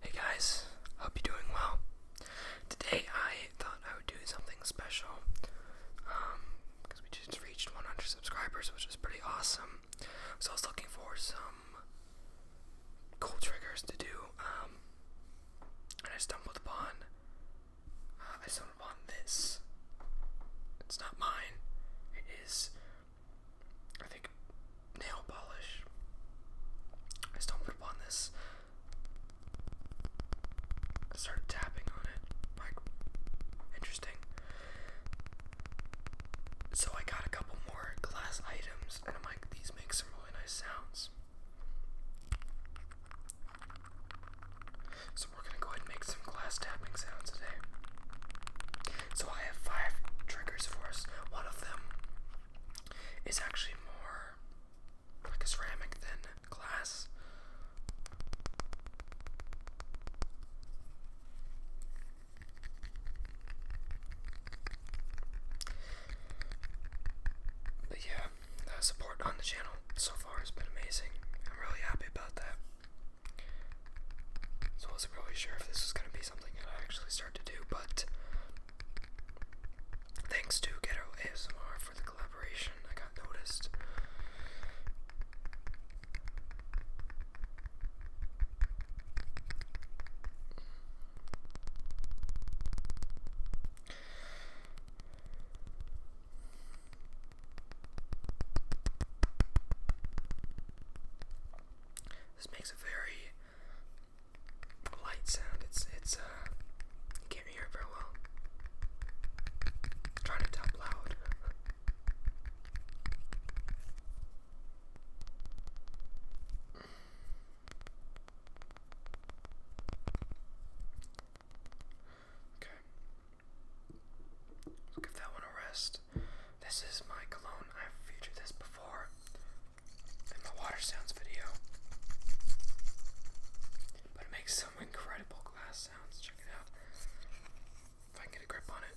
Hey guys, hope you're doing well. Today I thought I would do something special because um, we just reached 100 subscribers, which is pretty awesome. So I was looking for some cool triggers to do, um, and I stumbled upon. Uh, I stumbled upon this. It's not mine. It is I think nail polish. I stumbled upon this. I tapping on it. Like, interesting. So I got a couple more glass items, and I'm like, these make some really nice sounds. So we're gonna go ahead and make some glass tapping sounds today. So I have five triggers for us. One of them is actually more like a ceramic than glass. But yeah, the support on the channel so far has been amazing. I'm really happy about that. So I wasn't really sure if this was going to be something that I actually start to do, but thanks to Ghetto ASMR for the collaboration, I got noticed. This makes a very light sound. It's it's uh can't hear it very well. trying to talk loud. Okay. give that one a rest. This is my cologne. I've featured this before in the water sounds video. But it makes some incredible glass sounds. Check it out. If I can get a grip on it.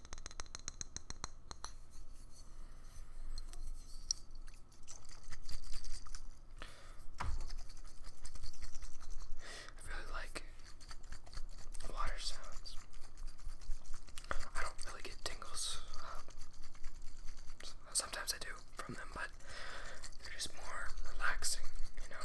I really like water sounds. I don't really get tingles. Um, sometimes I do from them, but they're just more relaxing, you know.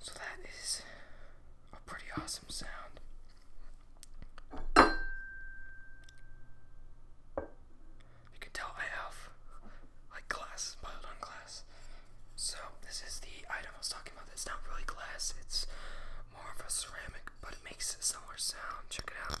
So that is a pretty awesome sound. You can tell I have like glass, piled on glass. So this is the item I was talking about. It's not really glass, it's more of a ceramic, but it makes a similar sound. Check it out.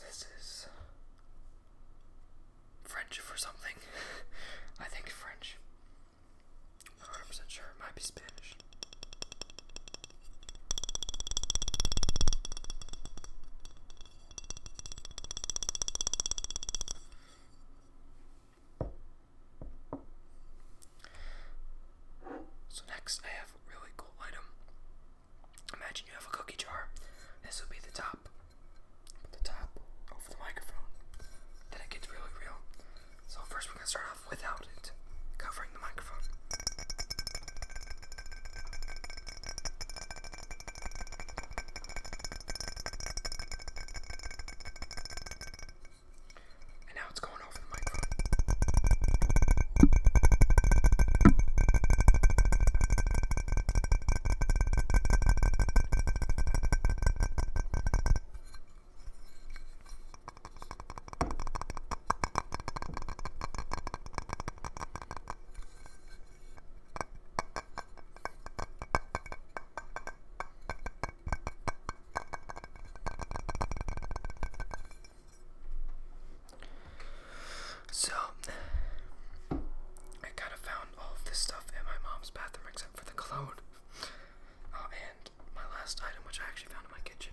this is French for something. I think French. I'm not 100% sure. It might be Spanish. So next I have a really cool item. Imagine you have a cookie jar. This would be the top. Put the top over the microphone. Then it gets really real. So first we're gonna start off without it, covering the microphone. And now it's going over the microphone. So, I kind of found all of this stuff in my mom's bathroom except for the cologne. Uh, and my last item, which I actually found in my kitchen.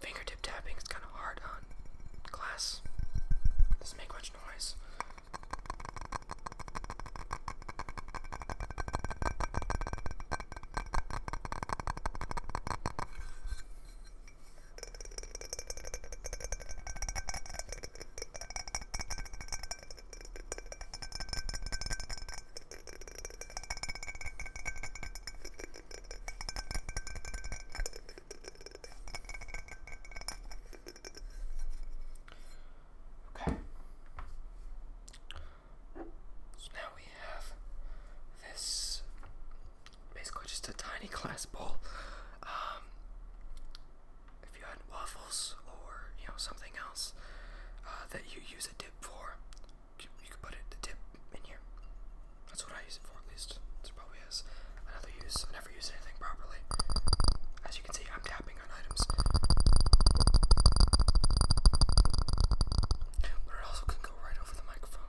Fingertip tapping is kind of hard on glass. Doesn't make much noise. Okay. So now we have this basically just a tiny glass bowl. Um, if you had waffles or you know something else uh, that you use a dip for, you can put it the tip in here. That's what I use it for, at least. There probably is another use. I never use anything properly. As you can see, I'm tapping on items. But it also can go right over the microphone.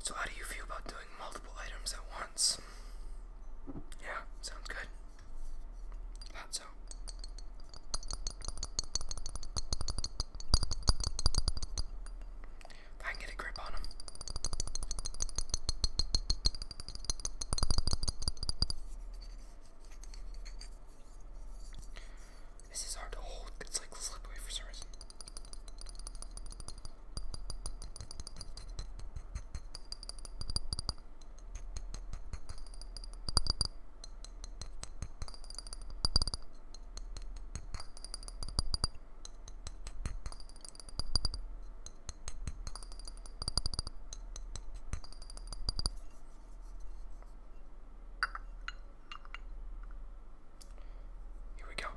So, how do you feel about doing multiple items at once? Yeah, sounds good. so. I can get a grip on him. This is hard to hold. It's like slipped away for some reason. Here we go.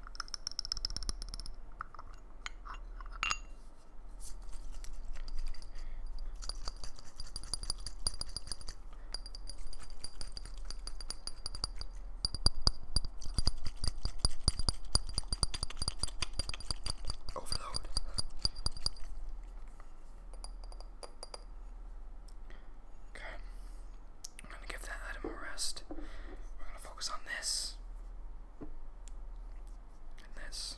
Oh, overload. Okay, I'm gonna give that item a rest. We're gonna focus on this. And this.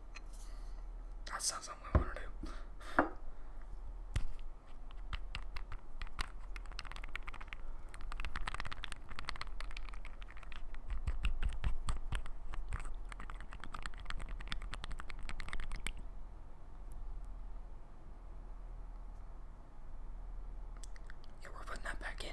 That sounds like we want to do. Yeah, we're putting that back in.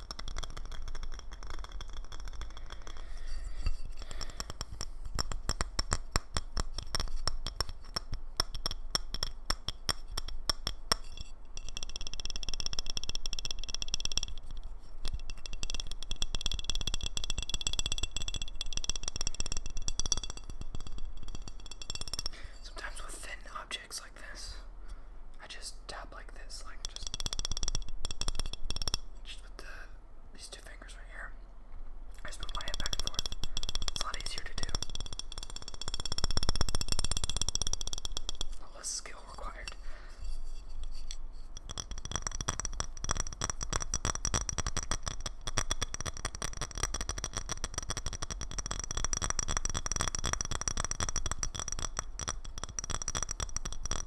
Sometimes with thin objects like this, I just tap like this, like just just the these two fingers right here. I just move my hand back and forth. It's a lot easier to do. less skill required. I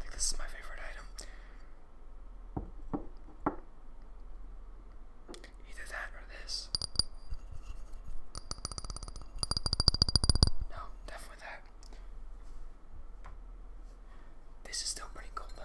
think this is my favorite item. Either that or this. No, definitely that. This is still pretty cool though.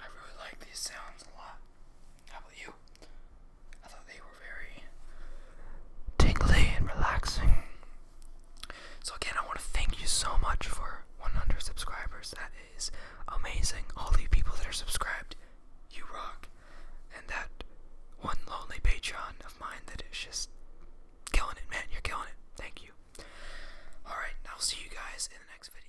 I really like these sounds a lot. How about you? I thought they were very tingly and relaxing. So, again, I want to thank you so much for 100 subscribers. That is amazing. All the people that are subscribed, you rock. And that one lonely Patreon of mine that is just killing it, man. You're killing it. Thank you. Alright, I'll see you guys in the next video.